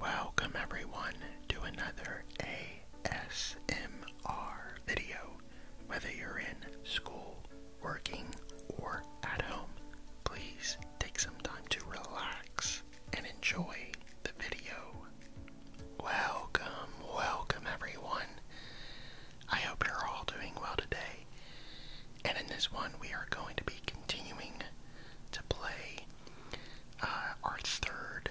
Welcome everyone to another ASMR video. Whether you're in school, working, or at home, please take some time to relax and enjoy the video. Welcome, welcome everyone. I hope you're all doing well today. And in this one, we are going to be continuing to play uh, our third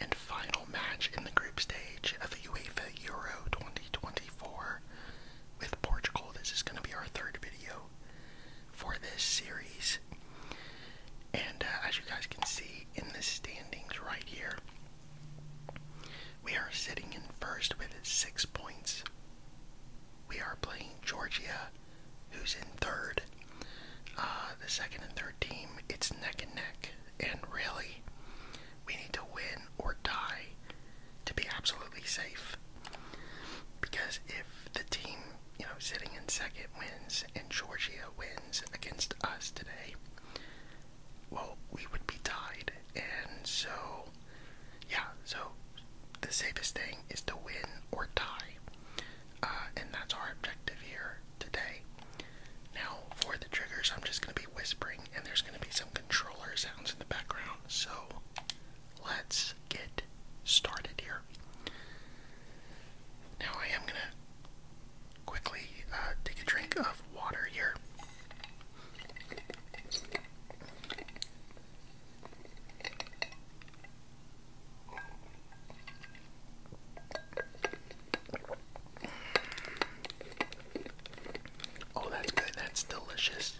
and final match in the group stage of UEFA Euro 2024 with Portugal. This is going to be our third video for this series. And uh, as you guys can see in the standings right here, we are sitting in first with six points. We are playing Georgia who's in third. Uh, the second and third team, it's neck and neck. And really, we need to win or die to be absolutely safe. Because if the team, you know, sitting in second wins and Georgia wins against us today, well, we would be tied. And so, yeah, so the safest thing is to win or die. Uh, and that's our objective here today. Now, for the triggers, I'm just going to be whispering, and there's going to be some controller sounds in the background, so let's get started here. Now, I am going to quickly uh, take a drink of water here. Oh, that's good. That's delicious.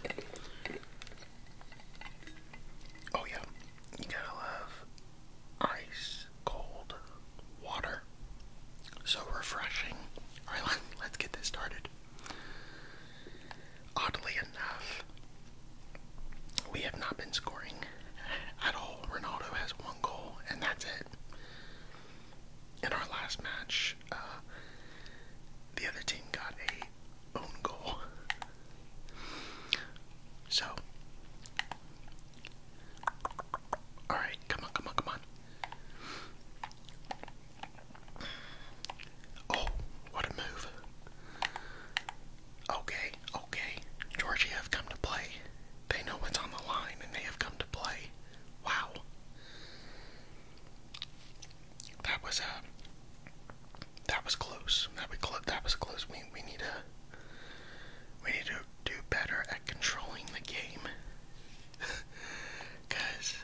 Oh, yeah. You gotta love ice cold water. So refreshing. Alright, let's get this started oddly enough, we have not been scoring at all. Ronaldo has one goal, and that's it. In our last match, uh, the other team got a own goal. So, all right, come on, come on, come on. Oh, what a move. Okay, okay. Georgia have come to play. They know what's on the line and they have come to play. Wow. That was a. Uh, that was close. That was close. We we need a. We need to do better at controlling the game. Cause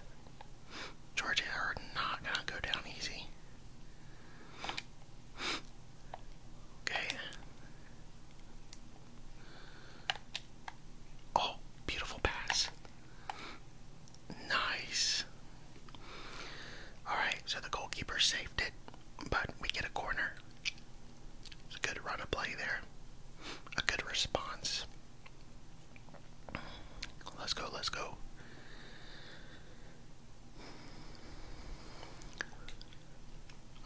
Georgia are not gonna go down easy. Okay. Oh, beautiful pass. Nice. Alright, so the goalkeeper saved it, but we get a corner. It's a good run of play there. A good response. Let's go, let's go.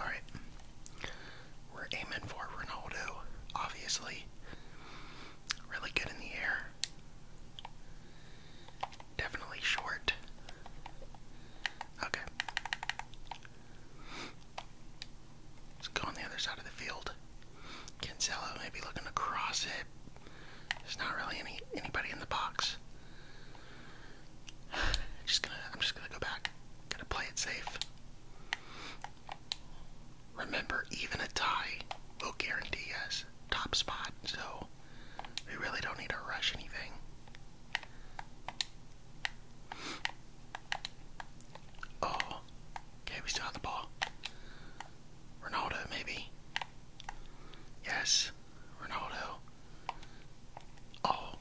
All right. We're aiming for Ronaldo, obviously. Really good in the air. Definitely short. Okay. Let's go on the other side of the field. Cancelo maybe looking to it. There's not really any anybody in the box. Just gonna I'm just gonna go back. Gonna play it safe. Remember, even a tie will guarantee us top spot, so we really don't need to rush anything. Oh, okay, we still have the ball. Ronaldo, maybe. Yes, Ronaldo. Oh.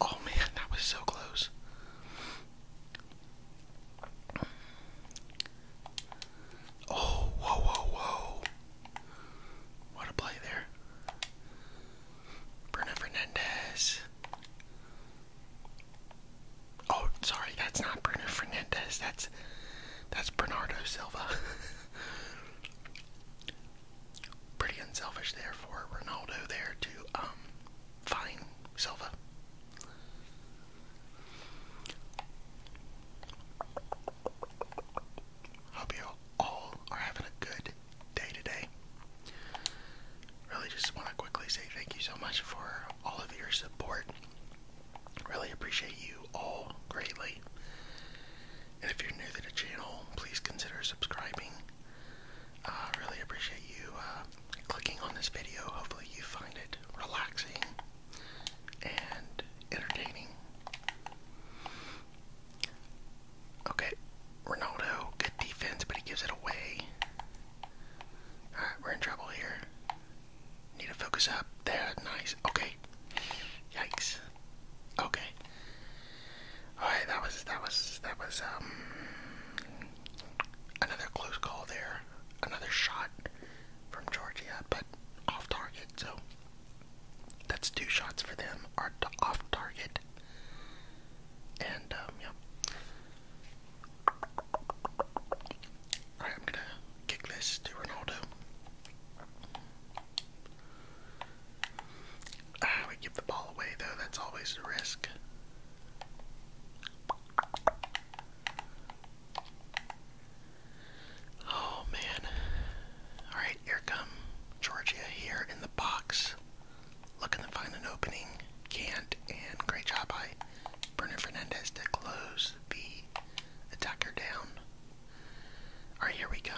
Oh man, that was so close. Oh, whoa, whoa, whoa. What a play there. Bruno Fernandez. Oh, sorry, that's not Bruno Fernandez. That's that's Bernardo Silva. Pretty unselfish there for Ronaldo there to um find Silva. Hope you all are having a good day today. Really just want to quickly say thank you so much for all of your support Really appreciate you all greatly. And if you're new to the channel, please consider subscribing. I really appreciate you uh, clicking on this video. Hopefully, you find it relaxing and entertaining. Okay, Ronaldo, good defense, but he gives it away. Alright, we're in trouble here. Need to focus up. There, nice. Okay. Yikes. Okay. Alright, that was that was that was um another close call there. Another shot from Georgia, but off target, so that's two shots for them are off target. And um Alright, I'm gonna kickless to Ronaldo. we give the ball away though, that's always a risk. Oh man. Alright, here come Georgia here in the box. Looking to find an opening. Can't and great job by Bernard Fernandez to close the Attack down. Alright, here we go.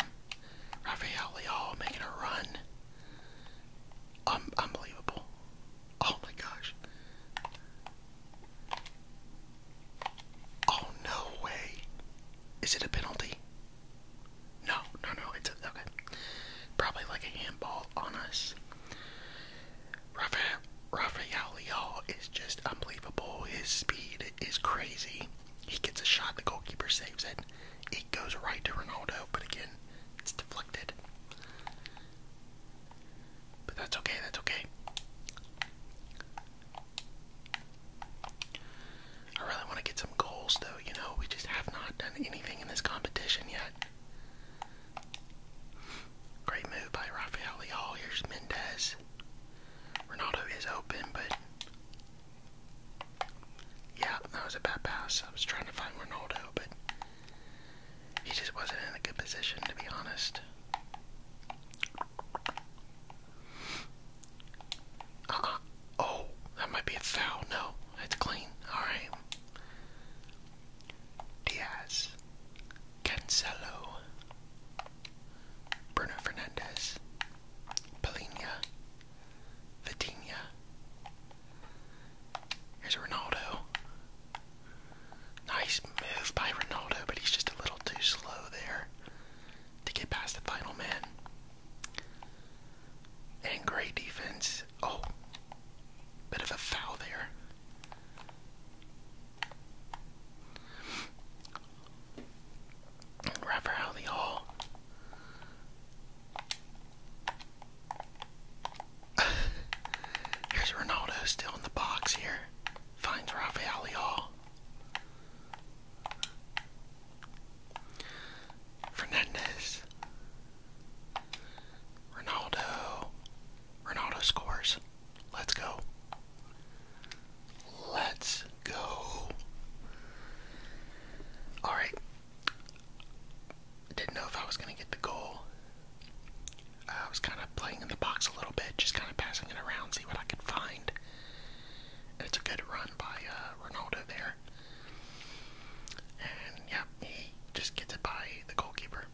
Raphael Leal making a run. Um, unbelievable. Oh my gosh. Oh no way. Is it a penalty? No, no, no. It's okay. Probably like a handball on us. Rafael, Rafael is just unbelievable. His speed is crazy. He gets a shot, the goalkeeper saves it. It goes right to Ronaldo, but again, it's deflected. But that's okay, that's okay. I really want to get some goals, though. You know, we just have not done anything in this competition yet. Great move by Rafael Leal. Here's Mendez. Ruiz. Ronaldo is open, but yeah, that was a bad pass. I was trying to find Ronaldo, but he just wasn't in a good position, to be honest. Uh-uh. Oh, that might be a foul. No, it's clean. All right. Diaz, Cancelo, Bruno Fernandez, Polina, Vitinha. Here's Ronaldo. Nice move by Ronaldo, but he's just a little too slow there to get past the final man. And great defense. Oh, bit of a foul there. Raphael Hall. Here's Ronaldo still in the box here. Finds Rafaeli the Hall. Fernandez. Ronaldo. Ronaldo scores. Let's go. Let's go. Alright. Didn't know if I was going to get the goal. I was kind of playing in the box a little bit, just kind of passing it around, see what I could find. it's a good run by uh, Ronaldo there. And yeah, he just gets it by the goalkeeper.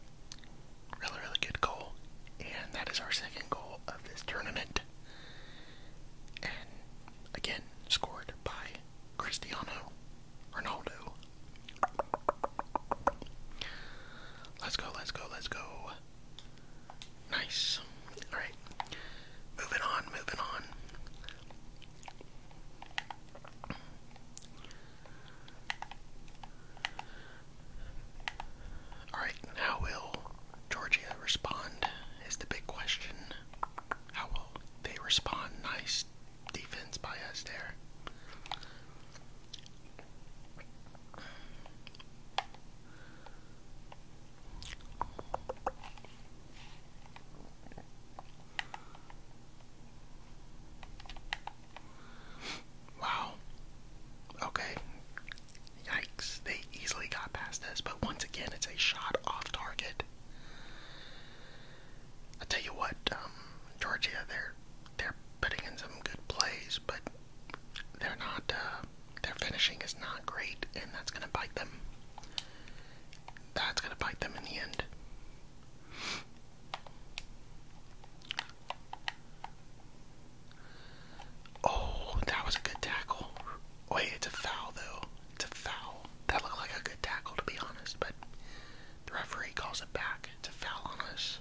Really, really good goal. And that is our second goal of this tournament. And again, scored by Cristiano Ronaldo. Let's go, let's go, let's go. Nice. Alright. Moving on, moving on. Alright, how will Georgia respond? Is the big question. How will they respond? Nice defense by us there. Wow. Okay. Yikes. They easily got past us, but once again, it's a shot off target. I tell you what, um, Georgia, they're they're putting in some good plays, but they're not. Uh, their finishing is not great, and that's gonna bite them. That's gonna bite them in the end. Oh, that was a good tackle. Wait, it's a foul though. It's a foul. That looked like a good tackle to be honest, but the referee calls it back. It's a foul on us.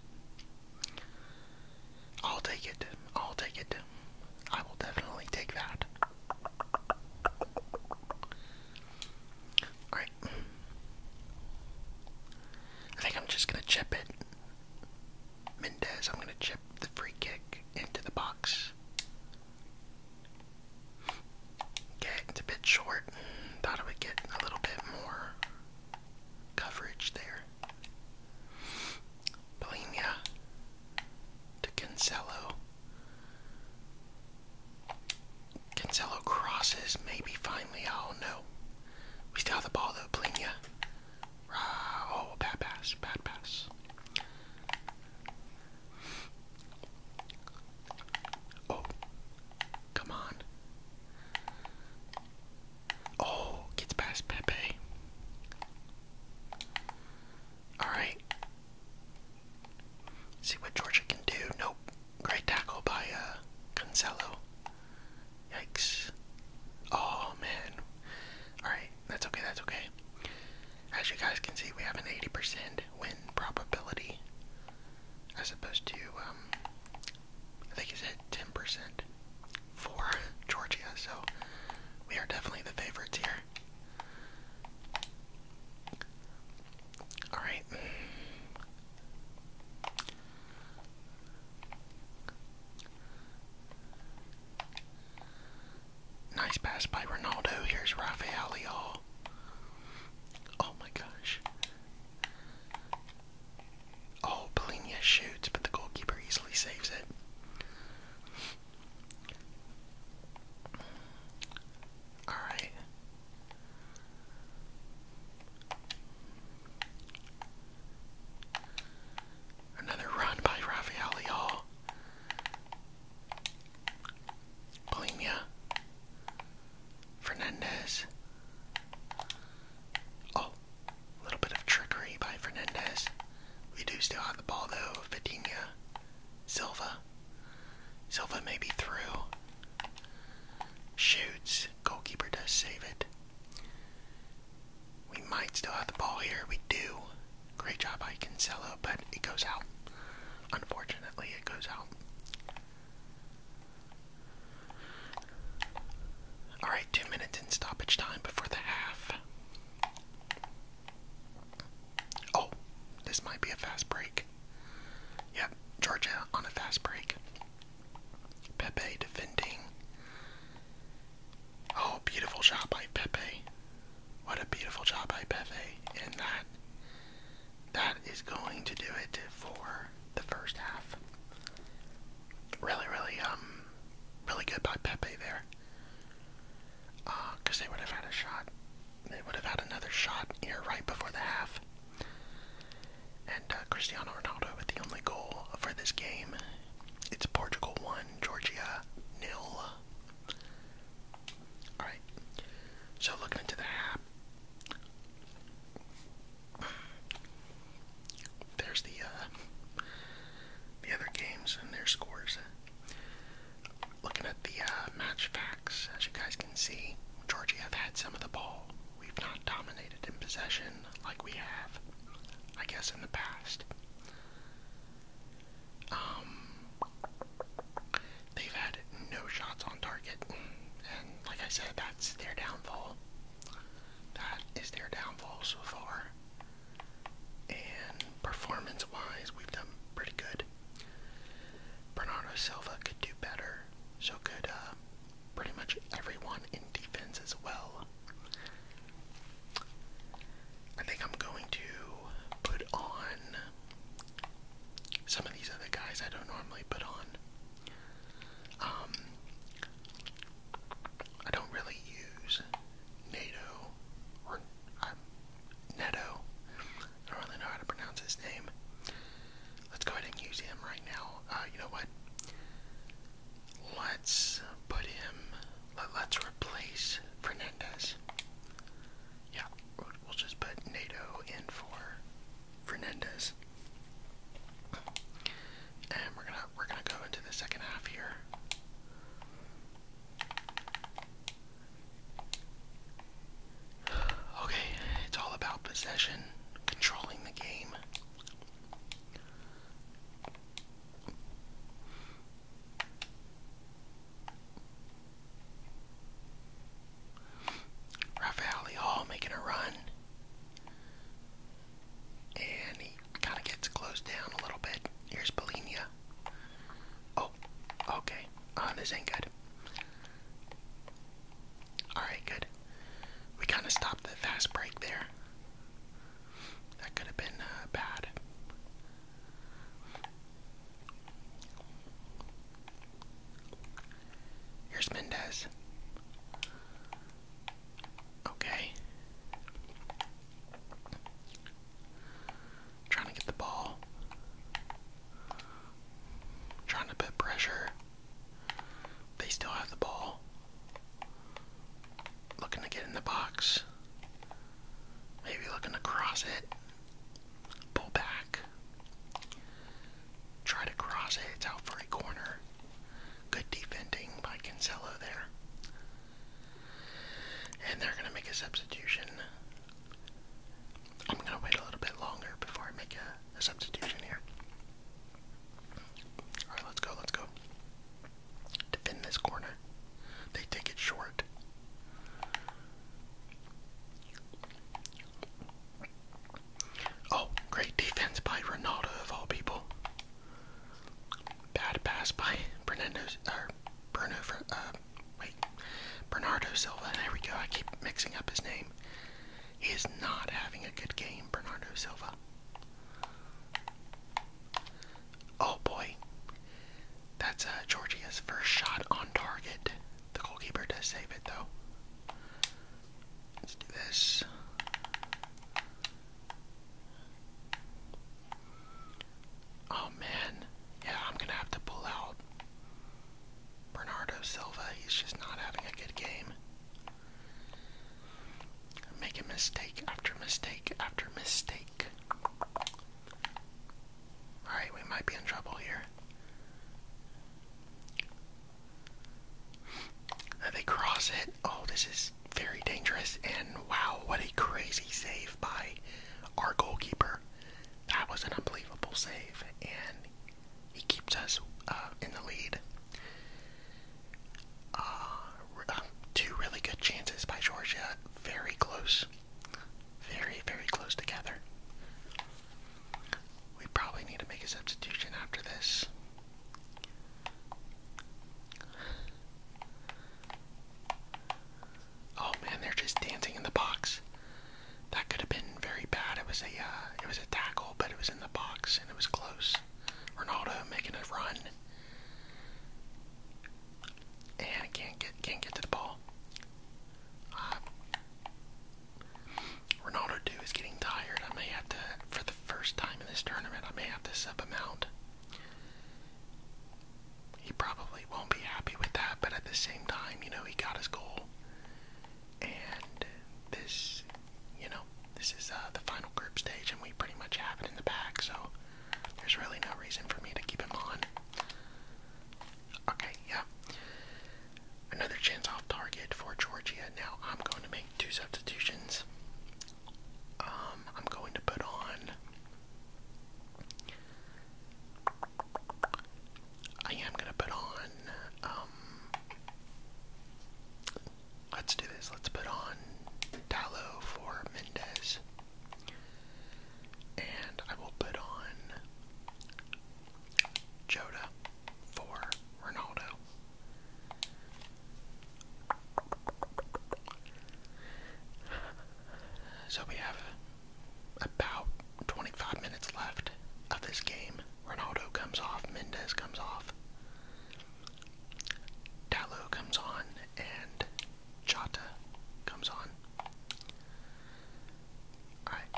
I'll take it. I'll take it. I will definitely take that. Alright, I think I'm just gonna chip it. Mendez, I'm gonna chip the free kick into the box. Okay, it's a bit short. Thought I would get a little bit more coverage there. Bulimia to Cancelo. Cancelo crosses, maybe finally. Oh no, we still have the ball though, Plenia. Uh, oh, bad pass, bad pass. Oh, come on. Oh, gets past Pepe. Alright. See what Georgia can do. Nope. Great tackle by uh Yikes. Oh man. Alright, that's okay, that's okay. As you guys can see, we have an 80% win probability. As opposed to, um, I think he said 10% for Georgia, so we are definitely the favorites here. Alright. Nice pass by Ronaldo. Here's Rafael Leal. Oh my gosh. Oh, Polina shoots, but the goalkeeper easily saves it. All right. Another run by Raphael Leal. Polina. Fernandez. Oh, a little bit of trickery by Fernandez. We do still have the ball though. Vitinha. Silva. Silva may be through. Shoots. Goalkeeper does save it. We might still have the ball here. We do. Great job by Cancelo, but it goes out. Unfortunately, it goes out. Alright, two minutes in stoppage time before the half. Oh, this might be a fast break. Yep, Georgia on a fast break. Pepe defending. Oh, beautiful shot by Pepe. What a beautiful shot by Pepe. And that that is going to do it for the first half. Really, really, um really good by Pepe there. Uh, cause they would have had a shot. They would have had another shot here right before the half. And uh, Cristiano Ronaldo with the only goal for this game. It's Portugal 1, Georgia nil. Alright, so looking into the app. There's the uh, the other games and their scores. Looking at the uh, match facts, as you guys see, Georgie have had some of the ball. We've not dominated in possession like we have, I guess, in the past. Um, they've had no shots on target, and like I said, that's their downfall. That is their downfall so far. And performance wise, we've done pretty good. Bernardo Silva could do better, so could uh, pretty much everyone in defense as well. I think I'm going to put on some of these other guys I don't normally put on. Um, I don't really use NATO or um, Neto. I don't really know how to pronounce his name. Let's go ahead and use him right now. Uh, you know what? Let's put him. Let, us replace Fernandez. Yeah, we'll just put NATO in for Fernandez, and we're gonna we're gonna go into the second half here. Okay, it's all about possession, controlling the game. Rafael Leal making a run. And he kind of gets closed down a little bit. Here's Polinia. Oh, okay. Oh, this ain't good. Alright, good. We kind of stopped the fast break there. That could have been uh, bad. Here's Mendez. Okay. Trying to get the ball. Trying to put pressure. They still have the ball. Looking to get in the box. Maybe looking to cross it. Pull back. Try to cross it. It's out for a corner. Good defending by Cancelo there. And they're going to make a substitution. I'm gonna wait a little bit longer before I make a, substitution here. Alright, let's go, let's go. Defend this corner. They take it short. Oh, great defense by Ronaldo of all people. Bad pass by Bernardo, or Bruno, uh, wait, Bernardo Silva. There we go. I keep mixing up his name. He is not having a good game, Bernardo Silva. Oh boy. That's uh, Georgia's first shot on target. The goalkeeper does save it though. Let's do this. Oh man. Yeah, I'm gonna have to pull out Bernardo Silva, he's just not having a good game. Making mistake after mistake after mistake. Alright, we might be in trouble here. Uh, they cross it. Oh, this is very dangerous. And wow, what a crazy save by our goalkeeper. That was an unbelievable save. And he keeps us uh, in the lead. Uh, um, two really good chances by Georgia, very close, very, very close together. We probably need to make a substitution after this. Oh man, they're just dancing in the box. That could have been very bad. It was a uh, it was a tackle, but it was in the box and it was close. Ronaldo making a run. And can't get can't get to the ball. Uh, Ronaldo too is getting tired. I may have to for the first time in this tournament I may have to sub him out. He probably won't be happy with that, but at the same time, you know, he got his goal. And this, you know, this is uh, the final group stage, and we pretty much have it in the bag, so there's really no reason for me to keep him on. Okay, yeah. Another chance off target for Georgia. Now I'm going to make two substitutions. Um, I'm going to put on I am gonna put on, um, let's do this, let's put on Tallow for Mendez, and I will put on Jota for Ronaldo. So we have about 25 minutes left of this game. Ronaldo comes off, Mendez comes off, Dallo comes on, and Chata comes on. Alright,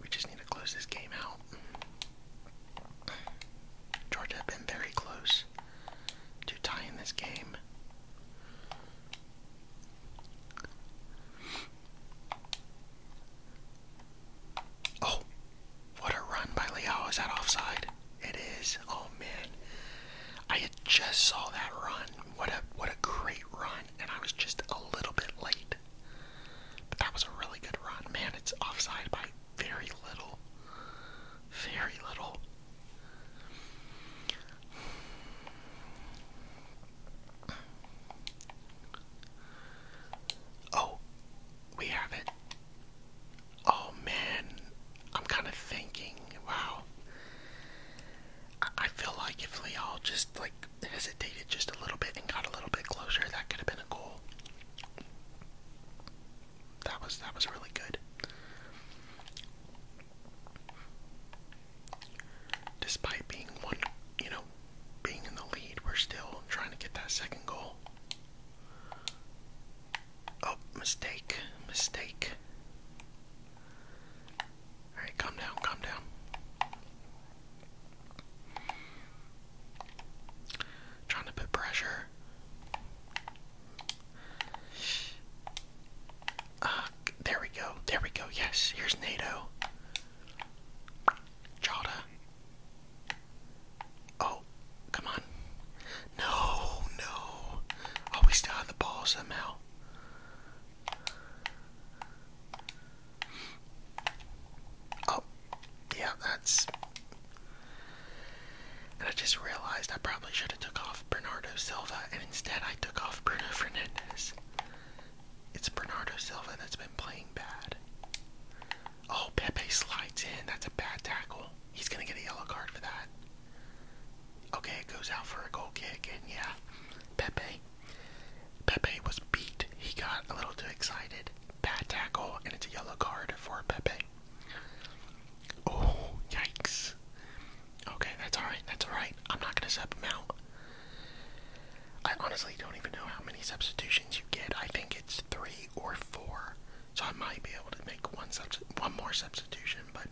we just need to close this game out. Georgia have been very close to tying this game. Oh, what a run by Liao. Is that offside? It is. Oh man. I just saw that run. What a what a great run. And I was just a little bit late. But that was a really good run. Man, it's offside by very little. Very little. Oh, we have it. Oh man, I'm kind of thinking, wow. I, feel like if Leal just like hesitated just a little bit and got a little bit closer, that could have been a goal. That was that was really good. Despite being one, you know, being in the lead, we're still trying to get that second goal. Oh, mistake, mistake. Alright, calm down, calm down. Trying to put pressure there we go. There we go. Yes, here's NATO. Jada. Oh, come on. No, no. Oh, we still have the ball somehow. Oh, yeah, that's. And I just realized I probably should have took off Bernardo Silva, and instead I took off Bruno Fernandez. It's Bernardo Silva that's been playing bad. Oh, Pepe slides in. That's a bad tackle. He's going to get a yellow card for that. Okay, it goes out for a goal kick, and yeah, Pepe. Pepe was beat. He got a little too excited. Bad tackle, and it's a yellow card for Pepe. Oh, yikes. Okay, that's alright, that's alright. I'm not gonna sub him out. I honestly don't even know how many substitutions you get. I think it's three or four. So I might be able to make one subs one more substitution, but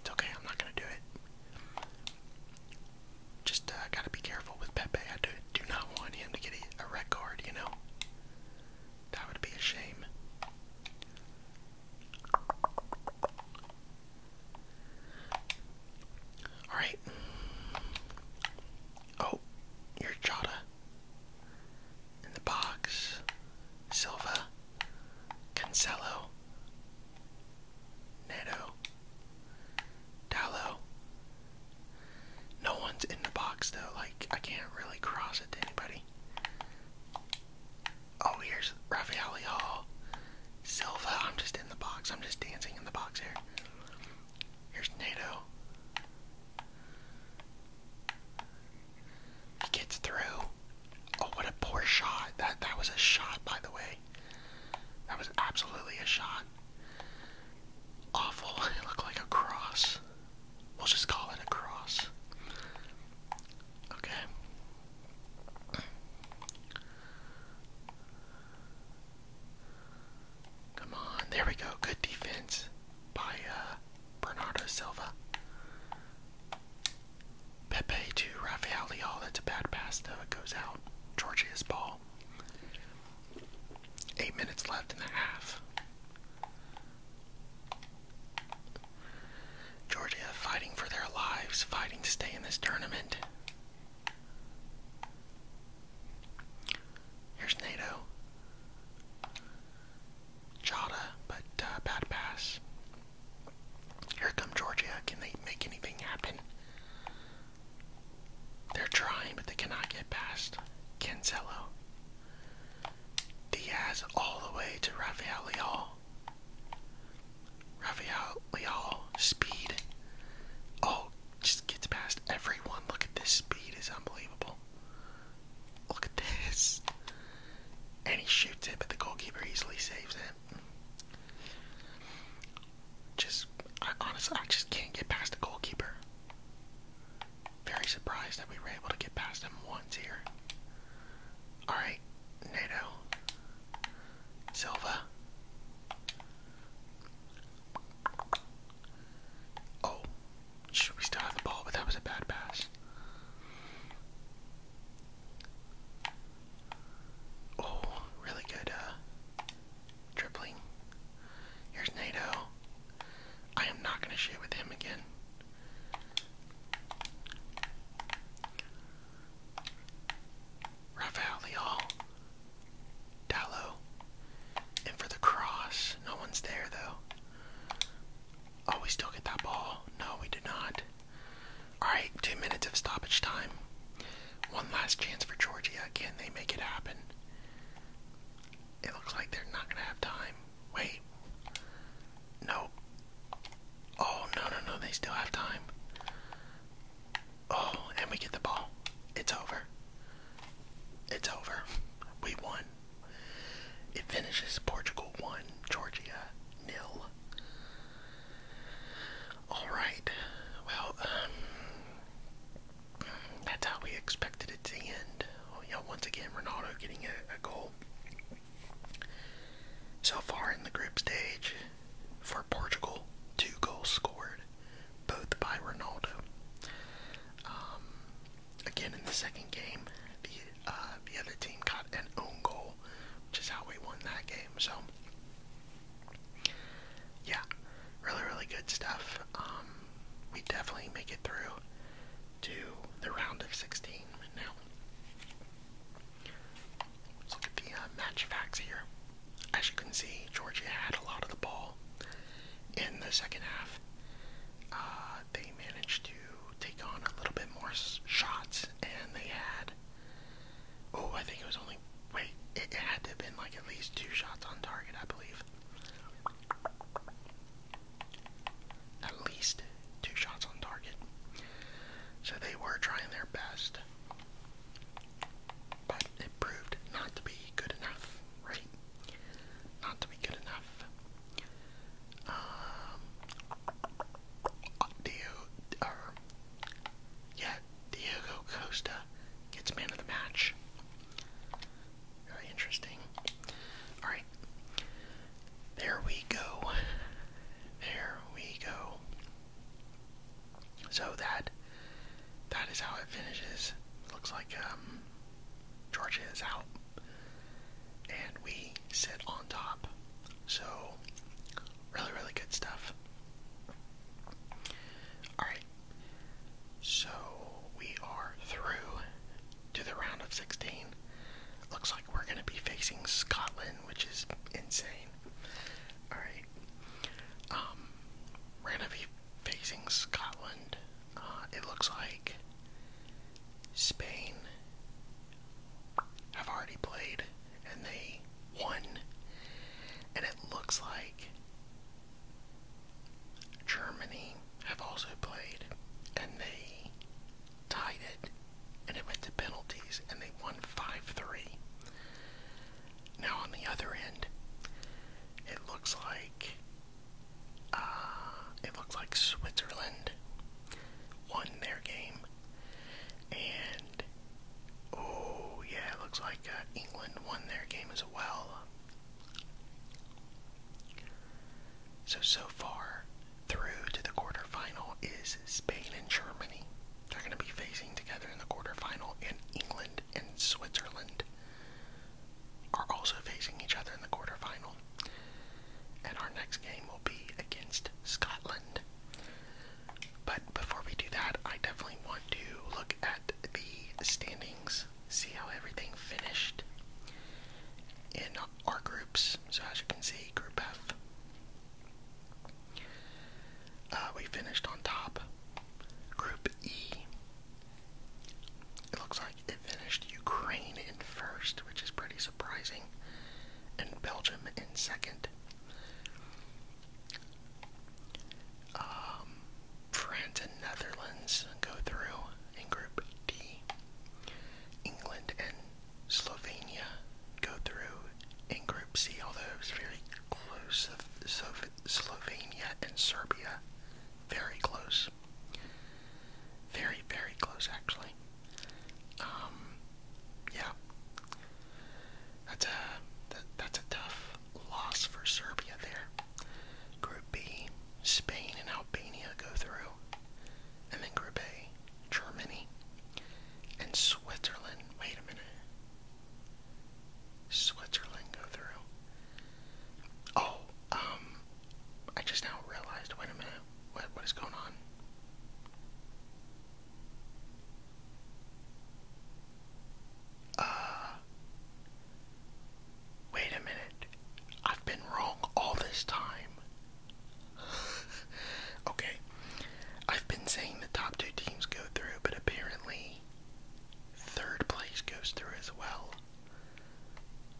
it's okay, I'm not gonna do it. Just uh, gotta be careful with Pepe. I do, not want him to get a red card, you know? That would be a shame. Alright. Oh, your Jota. In the box. Silva. Cancelo. Neto. Dallo. No one's in the box though, like I can't really cross it to anybody. Oh, here's Rafael Hall. Silva, I'm just in the box. I'm just dancing in the box here. Here's NATO. He gets through. Oh, what a poor shot. That that was a shot, by the way. That was absolutely a shot. Awful. It looked like a cross. We'll just call it a cross. Okay. Come on, there we go. Good defense by uh, Bernardo Silva. Pepe to Rafael Leal. That's a bad pass, though. It goes out. Georgia's ball. Eight minutes left in the half. Georgia fighting for their lives, fighting to stay in this tournament. Here's NATO. Jada, but uh, bad pass. Here come Georgia. Can they make anything happen? They're trying, but they cannot get past Cancelo. Diaz all the way to Rafael Leal. Rafael Leal, speed. Oh, just gets past everyone. Look at this speed, is unbelievable. Look at this. And he shoots it, but the goalkeeper easily saves it. Just, I, honestly, I just can't get past the goalkeeper. Very surprised that we were able to get past him once here. Alright, NATO. Silver. Oh, should we still have the ball? But that was a bad pass. Oh, really good uh, dribbling. Here's Nato. I am not going to shoot with him again. Rafael Leal, Dallo, and for the cross, no one's there though. Oh, we still get that ball. No, we did not. Alright, two minutes of stoppage time. One last chance for Georgia. Can they make it happen? It looks like they're not going to have time. Wait. no. Oh, no, no, no, they still have time. Oh, and we get the ball. It's over. It's over. We won. It finishes Portugal 1, Georgia nil. Alright, well, um, that's how we expected it to end. Oh, you know, once again, Ronaldo getting a goal. So far in the group stage, for Portugal, two goals scored, both by Ronaldo. Um, again, in the second game, the uh, the other team got an own goal, which is how we won that game. So, yeah, really, really good stuff. Um, we definitely make it through to the round of 16 now. Let's look at the uh, match facts here. As you can see, Georgia had a lot of the ball in the second half. Uh, they managed to take on a little bit more shots, and they had. Oh, I think it was only. Wait, it, had to have been like at least two shots on target, I believe. At least two shots on target. So they were trying their best. But it proved not to be good enough, right? Not to be good enough. Um, uh, Diego, yeah, Diego Costa gets man of the match. Very interesting. All right. There we go. There we go. So that that is how it finishes. Looks like um, Georgia is out. And we sit on top. So really really good stuff. Alright. So we are through to the round of sixteen. Looks like we're gonna be facing Scotland, which is insane. Alright. Um, we're gonna be facing Scotland. Uh, it looks like Spain have already played and they won. And it looks like Germany have also played and they tied and it went to penalties, and they won 5-3. Now on the other end, it looks like uh, it looks like Switzerland won their game, and oh yeah, it looks like uh, England won their game as well. So, so far through to the quarterfinal is Spain and Germany. They're going to be facing together in the quarterfinal, and England and Switzerland are also facing each other in the quarterfinal. And our next game will be against Scotland. But before we do that, I definitely want to look at the standings, see how everything finished in our groups. So as you can see, Group F, uh, we finished on top. Group E, it looks like it finished Ukraine in first, which is pretty surprising, and Belgium in second. Um, France and Netherlands go through in Group D. England and Slovenia go through in Group C, although it was very close. So Slovenia and Serbia, very close. Very, very close, actually. Um, yeah. That's a, that's a tough loss for Serbia there. Group B, Spain and Albania go through. And then Group A, Germany, and Switzerland. Wait a minute. Switzerland go through. Oh, um, I just now realized. Wait a minute. What what is going on? Uh, wait a minute. I've been wrong all this time. okay. I've been saying the top two teams go through, but apparently third place goes through as well.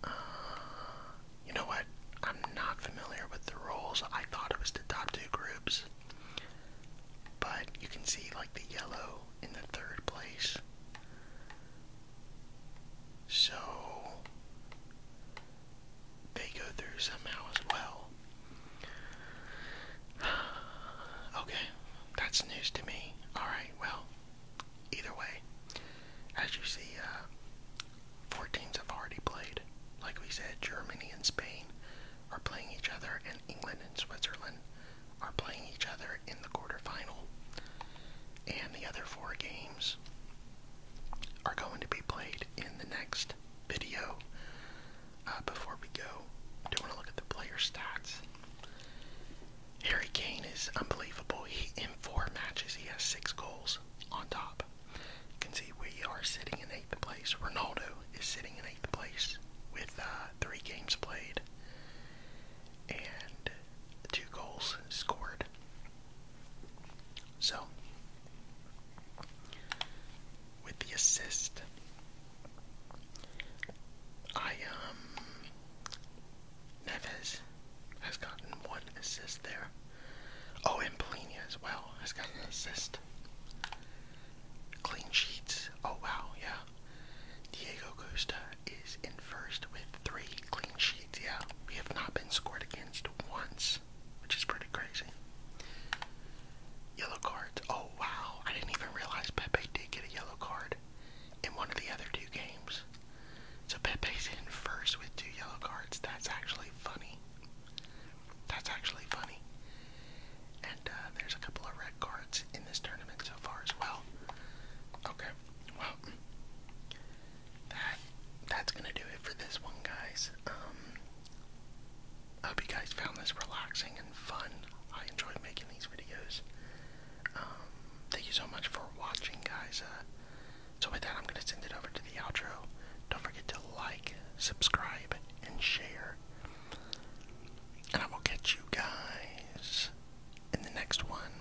Uh, you know what? I'm not familiar with the rules. I thought it was the top two groups. But you can see like the yellow in the third place. So they go through somehow as well. okay, that's news to me. Alright, well, either way, as you see, uh, four teams have already played. Like we said, Germany and Spain are playing each other, and England and Switzerland are playing each other in the quarterfinal. And the other four games are going to be played in the next video. Uh, before we go, do want to look at the player stats. Harry Kane is unbelievable. He in four matches he has six goals on top. You can see we are sitting in eighth place. Ronaldo is sitting in eighth place with uh, three games played and two goals scored. So, with the assist, I, um, Neves has gotten one assist there. Oh, and Polina as well has gotten an assist. Clean sheets. Oh, wow, yeah. Diego Costa is in first with three clean sheets. Yeah, we have not been scored again once, which is pretty crazy. Yellow cards. Oh, wow. I didn't even realize Pepe did get a yellow card in one of the other two games. So Pepe's in first with two yellow cards. That's actually funny. That's actually funny. And uh, there's a couple of red cards in this tournament so far as well. Okay, well, that that's gonna do it for this one, guys. Um, hope you guys found this relaxing and fun. I enjoy making these videos. Um, thank you so much for watching, guys. Uh, so with that, I'm gonna send it over to the outro. Don't forget to like, subscribe, and share. And I will catch you guys in the next one.